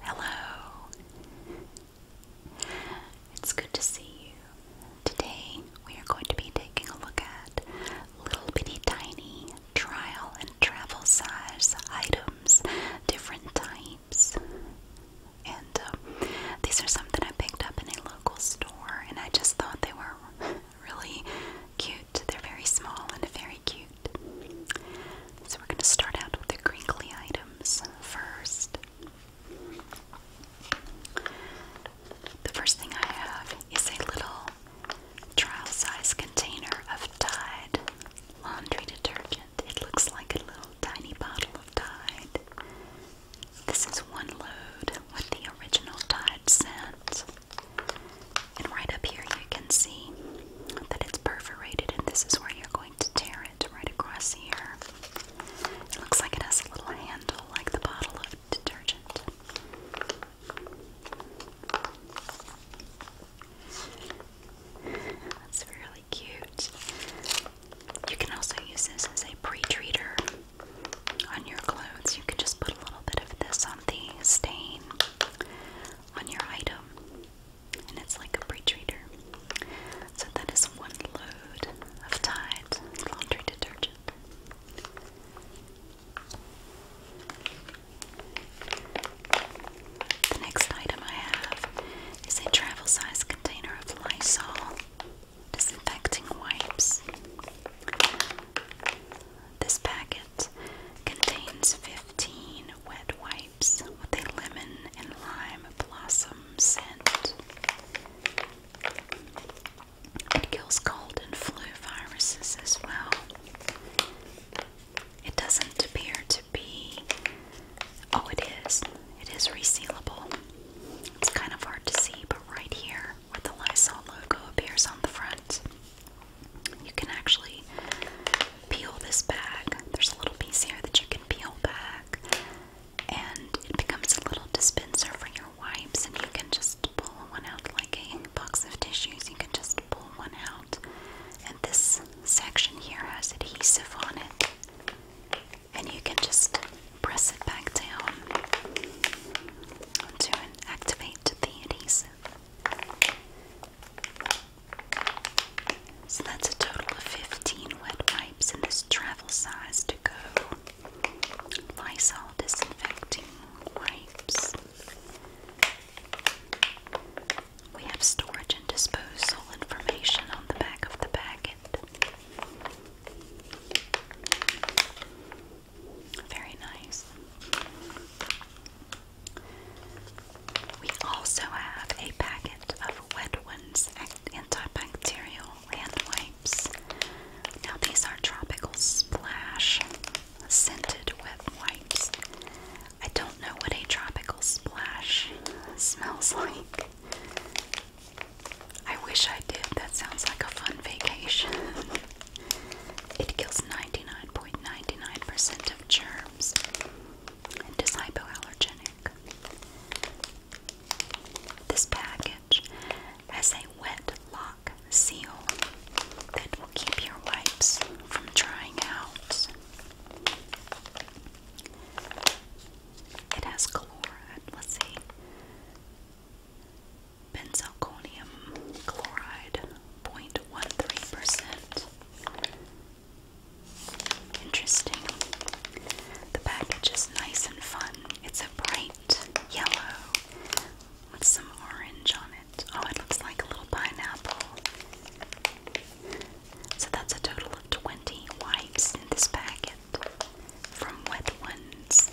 Hello. It's good to see you. Today we are going to be taking a look at little bitty tiny trial and travel size items, different types. And um, these are something I picked up in a local store, and I just thought they were really cute they're very small and very cute. So we're going to start out with the crinkly items first. The first thing I have is a little trial size container of Tide laundry detergent. It looks like a little tiny bottle of Tide. This is one load with the original Tide scent. And right up here, you can see that it's perforated, and this is where you're going to tear it right across here. It looks like it has a little handle, like the bottle of detergent. That's really cute. You can also use this as a pre-treater on your clothes. You can just put a little bit of this on the stain on your item, and it's like a pre So that is one load of Tide laundry detergent. The next item I have is a travel size container of Lysol disinfecting wipes. This packet contains 15 wet wipes with a lemon and lime blossom scent. It kills cold and flu viruses as well. It doesn't appear to be. Oh, it is. It is resealable. It's kind of hard to see, but right here where the Lysol logo appears on the front. You can actually peel this back. There's a little piece here that you can peel back, and it becomes a little dispenser for your wipes. And you can just pull one out like a box of tissues. You can just pull one out, and this section here has adhesive on it, and you can just press it back down to activate the adhesive. So that's a total of 15 wet wipes in this travel size to go Lysol disinfecting wipes. We have storage and disposal information on the back of the packet. Very nice. We also have a packet of Wet Ones antibacterial hand wipes. Now, these are tropical splash scented wet wipes. I don't know what a tropical splash smells like. I wish I did. That sounds like a fun vacation. It kills 99.99% of germs and is hypoallergenic. This package has a wet lock seal that will keep your wipes from drying out. It has chlorine. Let's see. Benzalkonium chloride 0.13%. Interesting. The package is nice and fun. It's a bright yellow with some orange on it. Oh, it looks like a little pineapple. So that's a total of 20 wipes in this packet from Wet Ones.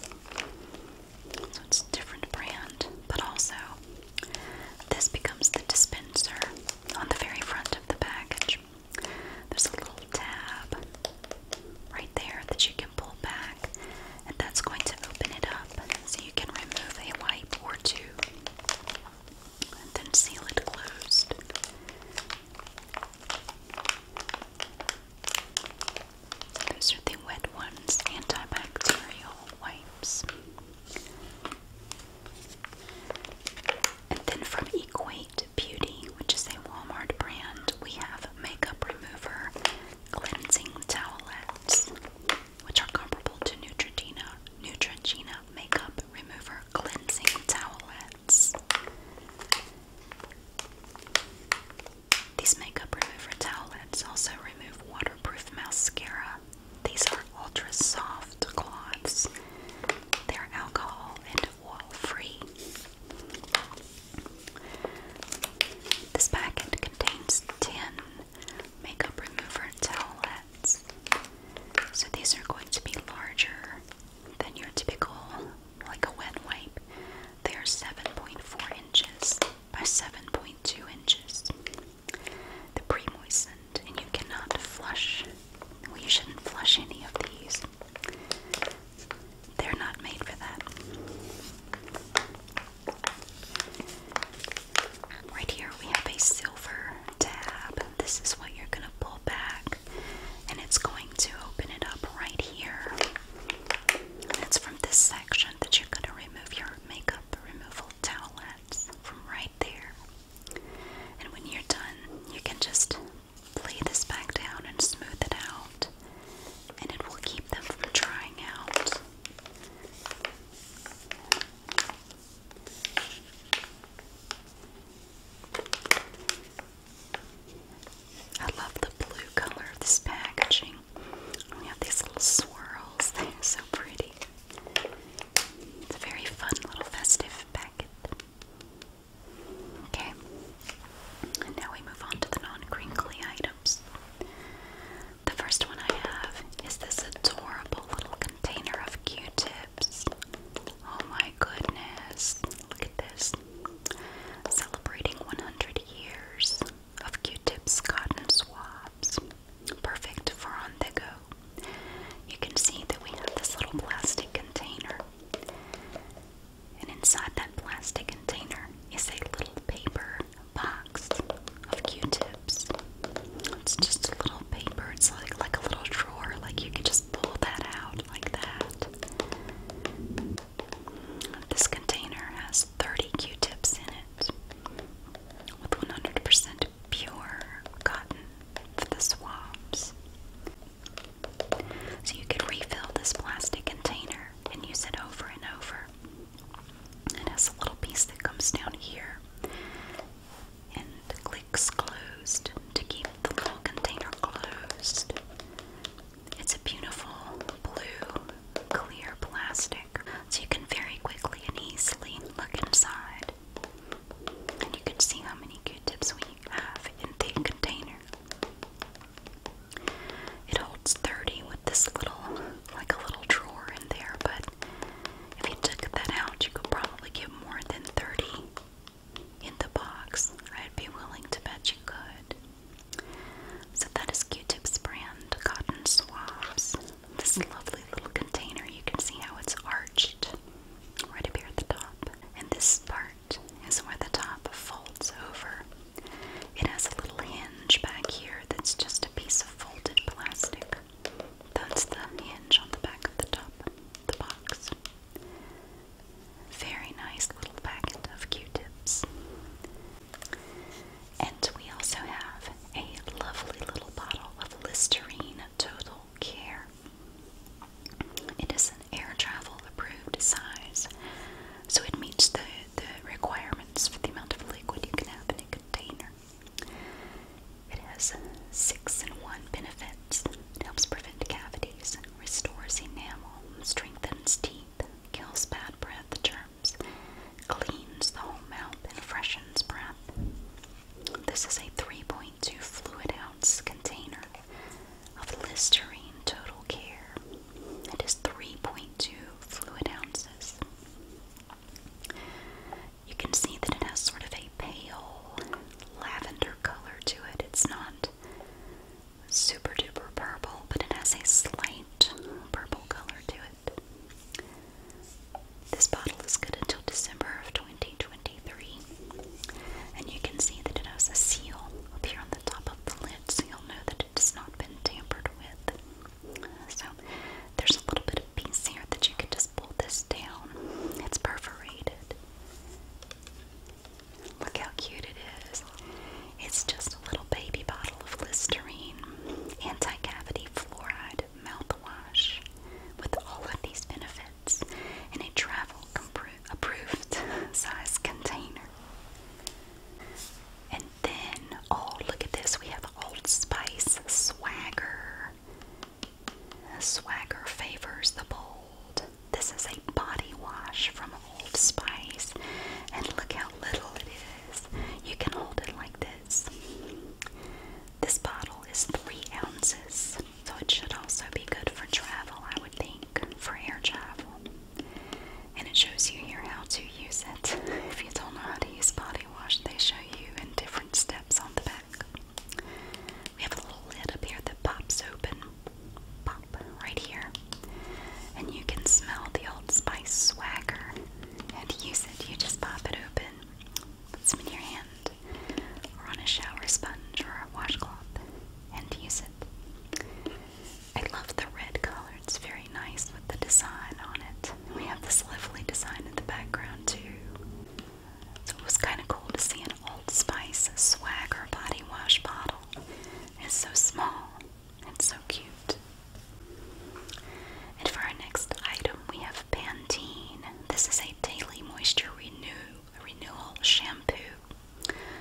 So it's a different brand, but also this becomes the dispenser on the very front of the package. There's a little tab right there that you can pull back, and that's going to open it up so you can remove a wipe or two and then seal it closed. Those are the Wet Ones antibacterial wipes. And then from Equate Beauty, which is a Walmart brand, we have makeup remover cleansing towelettes, which are comparable to Neutrogena Neutrogena makeup remover cleansing towelettes. These makeup remover towelettes also remove waterproof mascara. These are ultra soft cloths. They're alcohol and oil free. This packet contains 10 makeup remover towelettes. So these are going to be larger than your typical, like a wet wipe. They are 7.4 inches by 7.2 inches. The pre and you cannot flush, well you shouldn't flush any of these. They're not made for that. Right here we have a silver tab. This is what you're going to pull back and it's going to open it up right here it's from this section that you're going to remove your makeup removal towelettes from right there. And when you're done, you can just lay this back down and smooth it out, and it will keep them from drying out. I love the blue color of this packaging. We have these little swirls, they so pretty. It's a very fun little festive packet. Okay, and now we move on to the non crinkly items. The first one I have is this adorable little container of Q tips. Oh my goodness, look at this. Celebrating 100 years of Q-tips cotton swabs. Perfect for on the go. You can see that we have this little plastic container. And inside that plastic container is a little paper box of Q-tips. It's just a little paper. It's like like a little drawer. Like you can just pull that out like that. This container has 30 Q-tips in it with 100% pure cotton for the swabs. So you could refill this plastic container and use it over and over. It has a little piece that comes down here and clicks closed to keep the little container closed. It's a beautiful blue clear plastic, so you can very quickly and easily look inside. And you can see how many Q-tips we have in the container. It holds 30 with this little, like a little drawer in there, but if you took that out, you could probably get more than 30 in the box. I'd be willing to bet you could. So that is Q-Tip's brand cotton swabs. This lovely little container, you can see how it's arched right up here at the top. And this part is where the top folds over. It has a little hinge back here that's just a piece of folded plastic. That's the hinge on the back of the top, the box. Very nice little packet of Q-tips. And we also have a lovely little bottle of Listerine Total Care. It is an air travel approved size, so it meets the, the requirements for the amount of liquid you can have in a container. It has six and one benefits. It helps prevent cavities, restores enamel, strengthens teeth, kills bad breath germs, cleans the whole mouth, and freshens breath. This is a 3.2 fluid ounce container of Listerine Total Care. It is 3.2 fluid ounces. You can see that it has sort of a pale lavender color to it. It's not super duper purple, but it has a slight purple color to it. This bottle is good until December of 2023. And you can see that it has a seal up here on the top of the lid, so you'll know that it has not been tampered with. So there's a little bit of piece here that you can just pull this down. It's perforated. Look how cute it is. It's just a little baby bottle of Listerine anti cavity fluoride mouthwash with all of these benefits in a travel approved size container. And then, oh, look at this. We have Old Spice Swagger. Swagger favors the bold. This is a body wash from Old Spice, and look how little it is. You can hold it like this. This bottle is three ounces, so it should also be good for travel, I would think, for air travel. And it shows you here how to use it. If you don't know how to use body wash, they show you in different steps on the back. We have a little lid up here that pops open. Pop, right here. And you can smell the Old Spice swagger and use it. You just pop it open, put some in your hand, or on a shower sponge or a washcloth, and use it. I love the red color, it's very nice with the design on it. We have this lovely design in the background, too. So it was kind of cool to see Old Spice Swagger body wash bottle. It's so small and so cute. And for our next item, we have Pantene. This is a daily moisture renew renewal shampoo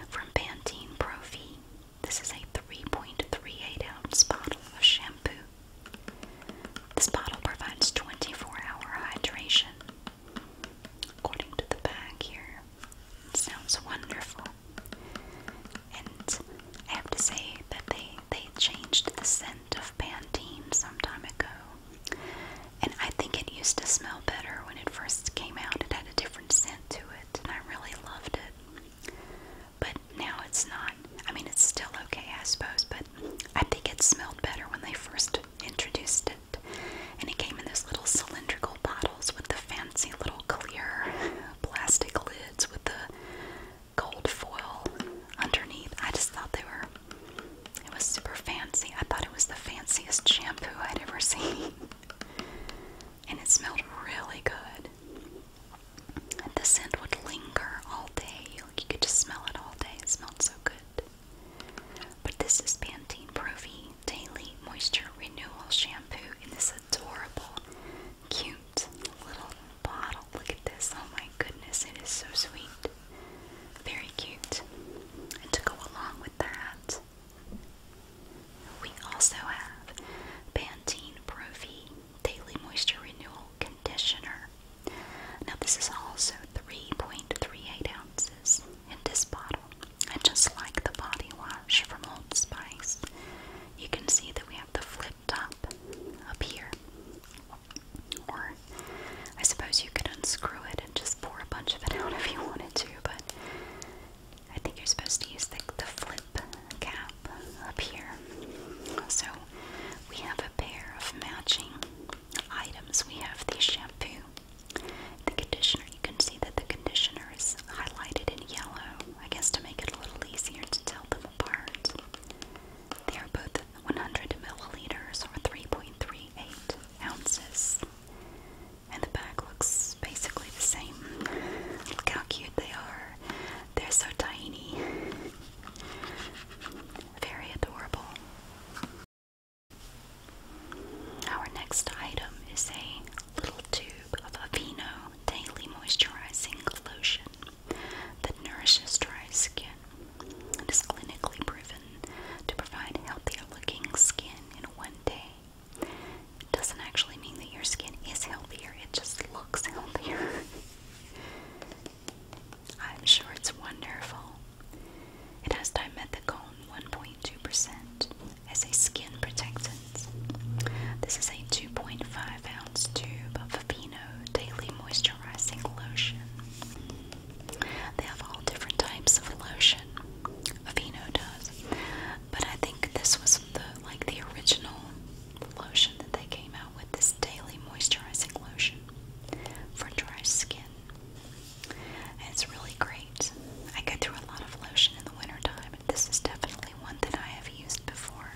from Pantene Profi. This is a 3.38 ounce bottle of shampoo. This bottle provides 24 hour hydration. According to the back here, Sounds wonderful. And I have to say that they they changed the scent of Pantene some time ago. And I think it used to smell better when it first came out. It had a different scent to it, and I really loved it. But now it's not. I mean, it's still okay, I suppose, but I think it smelled better when they first introduced it, and it came in those little cylindrical bottles with the fancy little clear plastic lids with the gold foil underneath. I just thought they were, it was super fancy. I thought it was the fanciest shampoo I'd ever seen, and it smelled really good. And the scent would linger all day. Like you could just smell it all day. It smelled so good. But this is Pantene Pro-V Daily Moisture Renewal Shampoo in this adorable, cute little bottle. Look at this. Oh my goodness, it is so sweet. Very cute. And to go along with that, we also have Pantene Pro-V Daily Moisture Renewal Conditioner. Now this is also 3.38 ounces in this bottle. And just like the body wash from Old Spice, you can see that we have the flip top up here. Or I suppose you could unscrew it and just pour a bunch of it out if you wanted to, but I think you're supposed to use the, the flip cap up here. So we have a pair of matching items. We have the shampoo the conditioner, you can see that the conditioner is highlighted in yellow, I guess to make it a little easier to tell them apart. They are both 100 milliliters or 3.38 ounces. And the bag looks basically the same. Look how cute they are. They're so tiny. Very adorable. Our next item is a little tube of Aveeno Daily Moisturizing Lotion that nourishes dry skin. and is clinically proven to provide healthier looking skin in one day. It doesn't actually mean that your skin is healthier, it just looks healthier. I'm sure it's wonderful. It has dimethicone 1.2% as a skin protectant. This is a 2.5 ounce tube of Aveeno Daily Moisturizing Lotion. They have all different types of lotion. Aveeno does. But I think this was the like the original lotion that they came out with this daily moisturizing lotion for dry skin it's really great. I go through a lot of lotion in the wintertime, and this is definitely one that I have used before.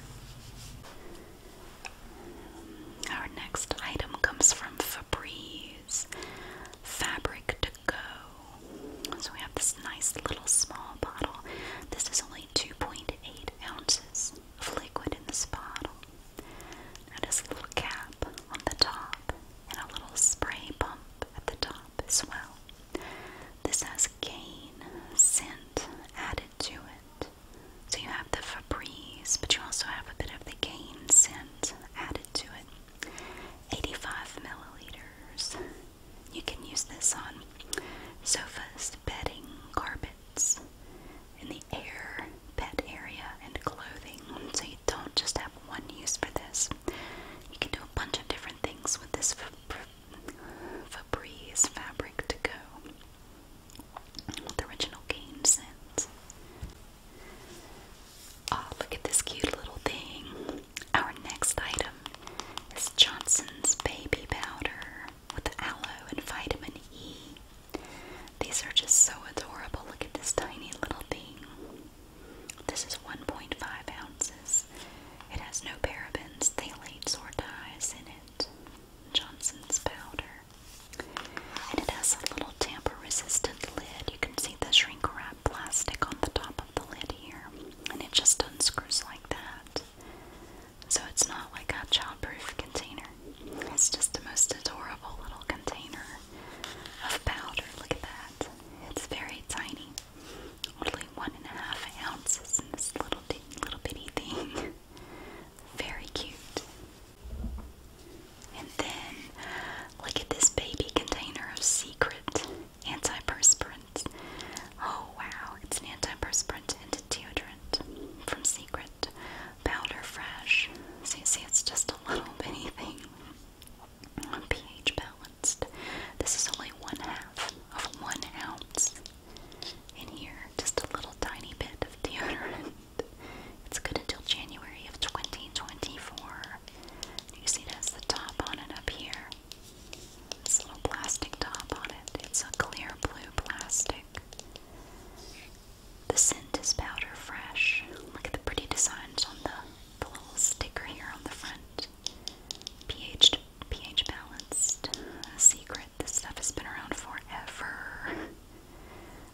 Our next item comes from Febreze Fabric to Go. So we have this nice little small bottle. This is only 2.8 ounces of liquid in this bottle. Notice a little cap on the top and a little spray pump at the top as well. This has cane scent added to it. So you have the Febreze, but you also have a bit of the cane scent added to it. 85 milliliters. You can use this on sofas, bedding, carpets in the air, pet area, and clothing. So you don't just have one use for this. You can do a bunch of different things with this Febreze fabric to go with original cane scent. Oh, look at this cute little thing. Our next item is Johnson's baby powder with aloe and vitamin E. These are just so adorable. Look at this tiny little thing. This is 1.5 ounces. It has no parabens, phthalates, or dyes in it. Johnson's powder. And it has a little tamper resistant lid. You can see the shrink wrap plastic on the top of the lid here. And it just unscrews like that. So it's not like a child-proof container it's just the most adorable little container of powder. Look at that. It's very tiny. Only one and a half ounces in this little, little bitty thing. Very cute. And then, look at this baby container of secret antiperspirant. Oh wow, it's an antiperspirant and a deodorant from Secret powder fresh. So you see it's just a little tiny thing. pH balanced. This is only one half of one ounce in here. Just a little tiny bit of deodorant. It's good until January of 2024. You see that's the top on it up here. This little plastic top on it. It's a clear blue plastic. The scent is powder fresh. Look at the pretty designs on the, little sticker here on the front. pH pH balanced. secret. This stuff has been around forever.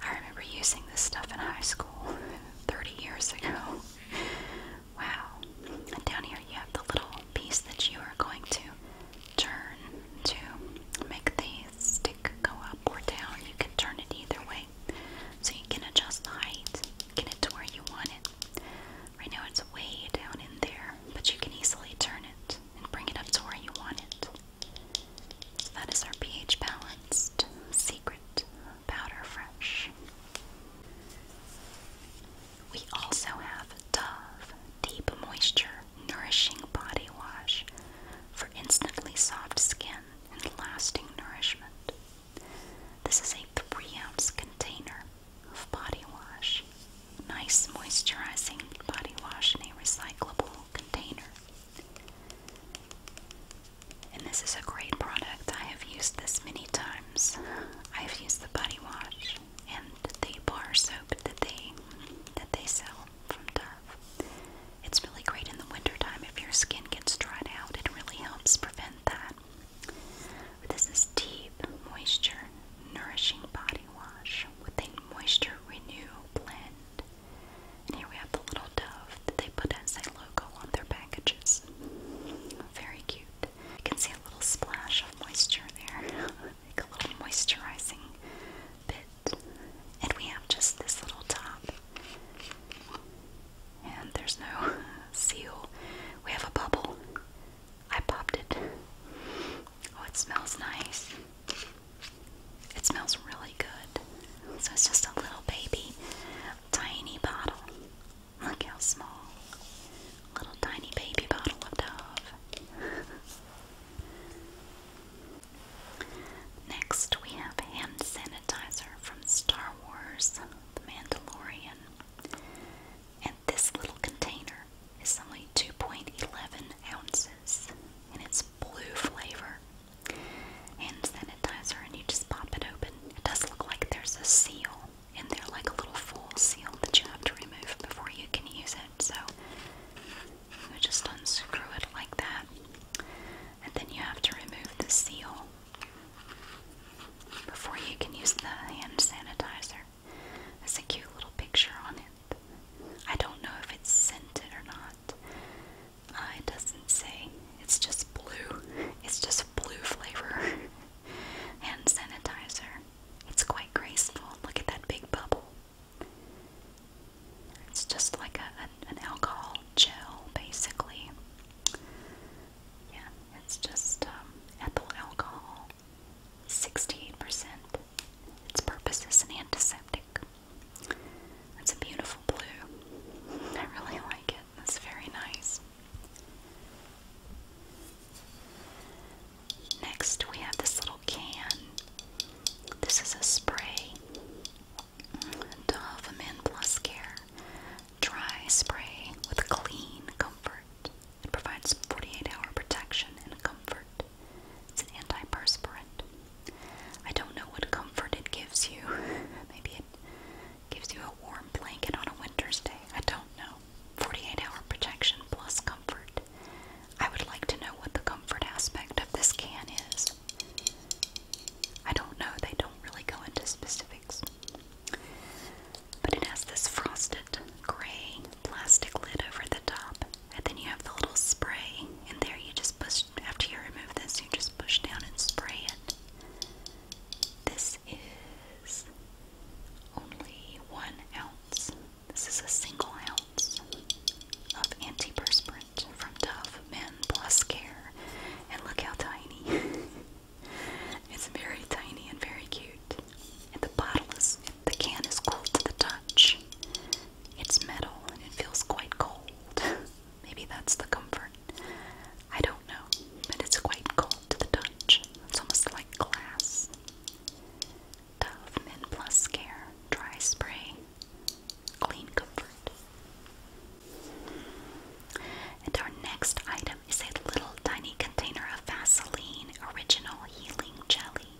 I remember using this stuff in high school 30 years ago. Wow. down here you have the little piece that you are going to turn to make the go up or down. You can turn it either way. So you can adjust the height, get it to where you want it. Right now it's way down in there, but you can easily turn it and bring it up to where you want it. So that is our pH balanced secret powder fresh. We also have Dove Deep Moisture nourishing body wash for instantly soft skin and lasting nourishment. This is a 3 ounce container of body wash. Nice moisturizing body wash in a recyclable container. And this is a great product. I have used this many times. I have used the body wash and the bar soap that they that they sell from Dove. It's really great in the wintertime if your skin gets dried out, it really helps prevent that. This is Deep Moisture Nourishing Body Wash with a Moisture Renew Blend. here we have the little dove that they put as a logo on their packages. Very cute. You can see a little splash of moisture there. like a little moisturizing bit. And we have just this little top. And there's no seal. We have a bubble. I popped it. Oh, it smells nice. It smells really good. So it's just a little baby, tiny bottle. Look how small. Little tiny baby bottle of Dove. Next, we have hand sanitizer from Star Wars The Mandalorian. And this little container is only 2.11 ounces and it's blue flavor. Hand sanitizer, and you just pop it open. It does look like there's a seal in there, like a little full seal that you have to remove before you can use it. So you just unscrew it like that, and then you have to remove the seal before you can use the hand sanitizer. There's a cute little picture on it. I don't know if it's scented or not. Uh, it doesn't say. It's just blue. It's just blue flavor hand sanitizer. It's quite graceful. Look at that big bubble. It's just like a, an, alcohol gel, basically. Yeah, it's just um, ethyl alcohol, 68%. Its purpose is an antiseptic. It's a beautiful blue. I really like it. It's very nice. Next, we have this little can. This is a spray. Dove Men Plus Care Dry Spray with Clean Comfort. It provides 48 hour protection and comfort. It's an antiperspirant. I don't know what comfort it gives you. Maybe it gives you a warm blanket on a winter's day. I don't know. 48 hour protection plus comfort. I would like to know what the comfort aspect of this can is. I don't know, they don't really go into specifics. But it has this frosted gray plastic lid over the top, and then you have the little spray, and there you just push, after you remove this, you just push down and spray it. This is only one ounce this is a single ounce of antiperspirant from Dove Men Plus Care. And look how tiny. it's very tiny and very cute. And the bottle is, the can is cool to the touch. It's metal and it feels quite cold. Maybe that's the comfort. I don't know, but it's quite cold to the touch. It's almost like glass. Dove Men Plus Care Dry Spray Clean Comfort. And our next item is a little tiny container of Vaseline Original Healing Jelly.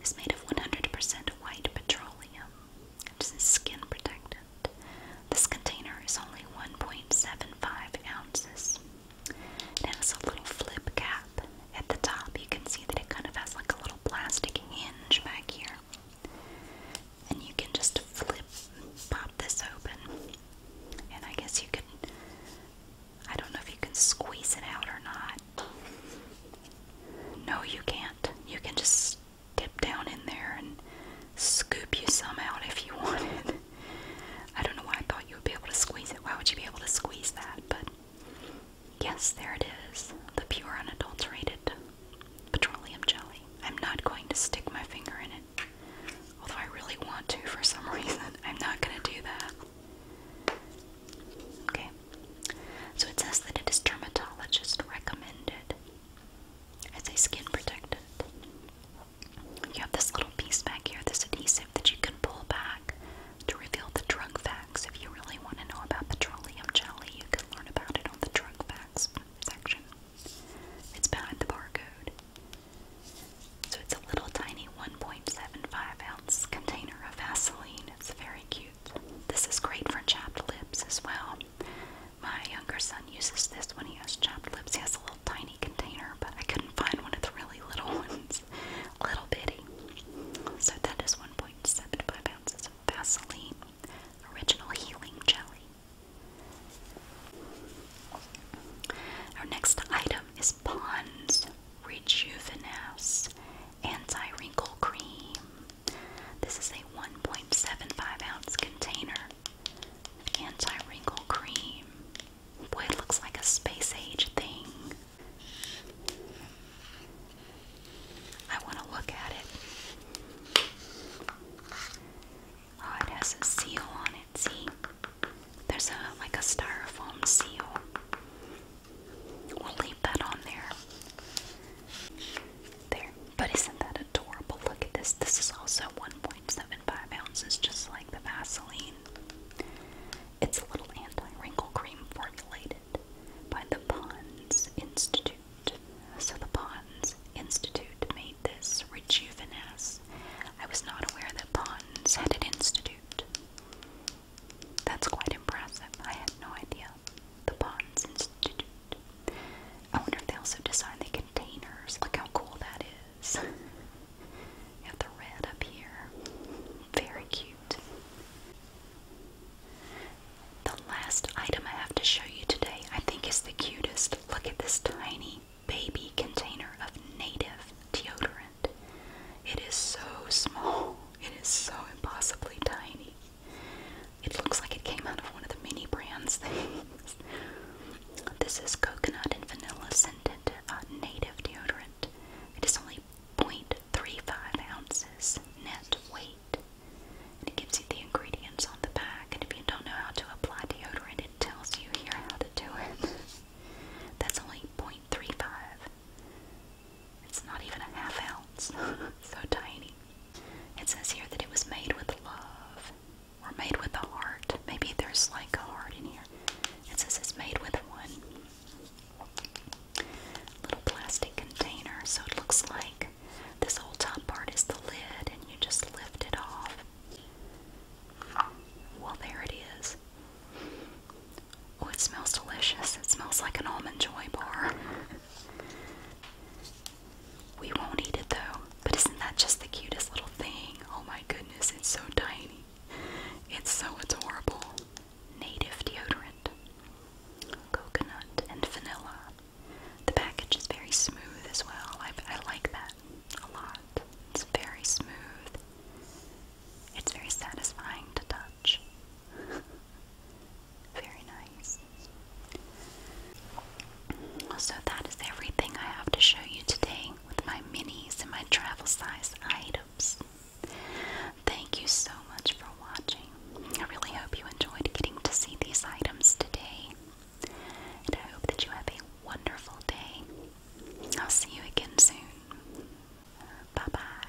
It's made of 100% white petroleum. It's skin protectant. This container is only 1.75 ounces. It has a little flip cap at the top. You can see that it kind of has like a little plastic hinge back here. And you can just flip, pop this open. And I guess you can, I don't know if you can squeeze it out or not. No, you can't. You can just dip down in there and scoop you some out if you wanted. I don't know why I thought you would be able to squeeze it. Why would you be able to squeeze that? But Yes, there it is. The pure unadulterated petroleum jelly. I'm not going to stick my finger in it. Although I really want to for some reason. I'm not going to do that. Okay. So it says that it is dermatologist recommended as a skin protectant. You have this little piece back here, this adhesive that you can pull back to reveal the drug facts. If you really want to know about petroleum jelly, you can learn about it on the drug facts section. It's behind the barcode. So it's a little tiny 1.75 ounce container of Vaseline. It's very cute. This is great for chapped lips as well. My younger son uses this when he has chapped lips. He has a little tiny container, but I couldn't find one of the really little ones. Little bitty. So that is 1.75 ounces of Vaseline Original Healing Jelly. Our next item is Pond's Rejuvenace Anti Wrinkle Cream. This is a 1.75 ounce container of anti wrinkle cream. Boy, it looks like a space age thing. I want to look at it. Oh, it has a seal on it. See, there's a like a styrofoam seal. We'll leave that on there. There. But isn't that adorable? Look at this. This is also 1.75 ounces, just like the Vaseline. It's a little anti-wrinkle cream formulated by the Ponds Institute. So the Ponds Institute made this rejuvenesce. I was not aware that Ponds had an institute. That's quite impressive. I had no idea. The Ponds Institute. I wonder if they also design the containers. Look how cool that is. You have the red up here. Very cute. The last item I have to show you today, I think, is the cutest. Look at this tiny baby container of native deodorant. It is so small, it is so impossibly tiny. It looks like it came out of one of the mini brands things. This is coconut and vanilla scented uh, native deodorant. It is only 0.35 ounces net weight. it gives you the ingredients on the back. And if you don't know how to apply deodorant, it tells you here how to do it. That's only 0.35. It's not even a half ounce. so tiny. It says here that it was made with love we're made with a heart. Maybe there's like a heart in here. It says it's made with one. Little plastic container. So it looks like this whole top part is the lid, and you just lift it off. Well, there it is. Oh, it smells delicious. It smells like an almond joy bar. We won't eat it though, but isn't that just the cutest little thing? Oh my goodness, it's so tiny. It's so adorable. Native deodorant, coconut, and vanilla. The package is very smooth as well. I, like that a lot. It's very smooth. It's very satisfying to touch. very nice. So, that is everything I have to show you today with my minis and my travel size items. Thank you so much for watching. I really hope you enjoyed getting to see these items today. And I hope that you have a wonderful day. I'll see you again soon. Bye bye.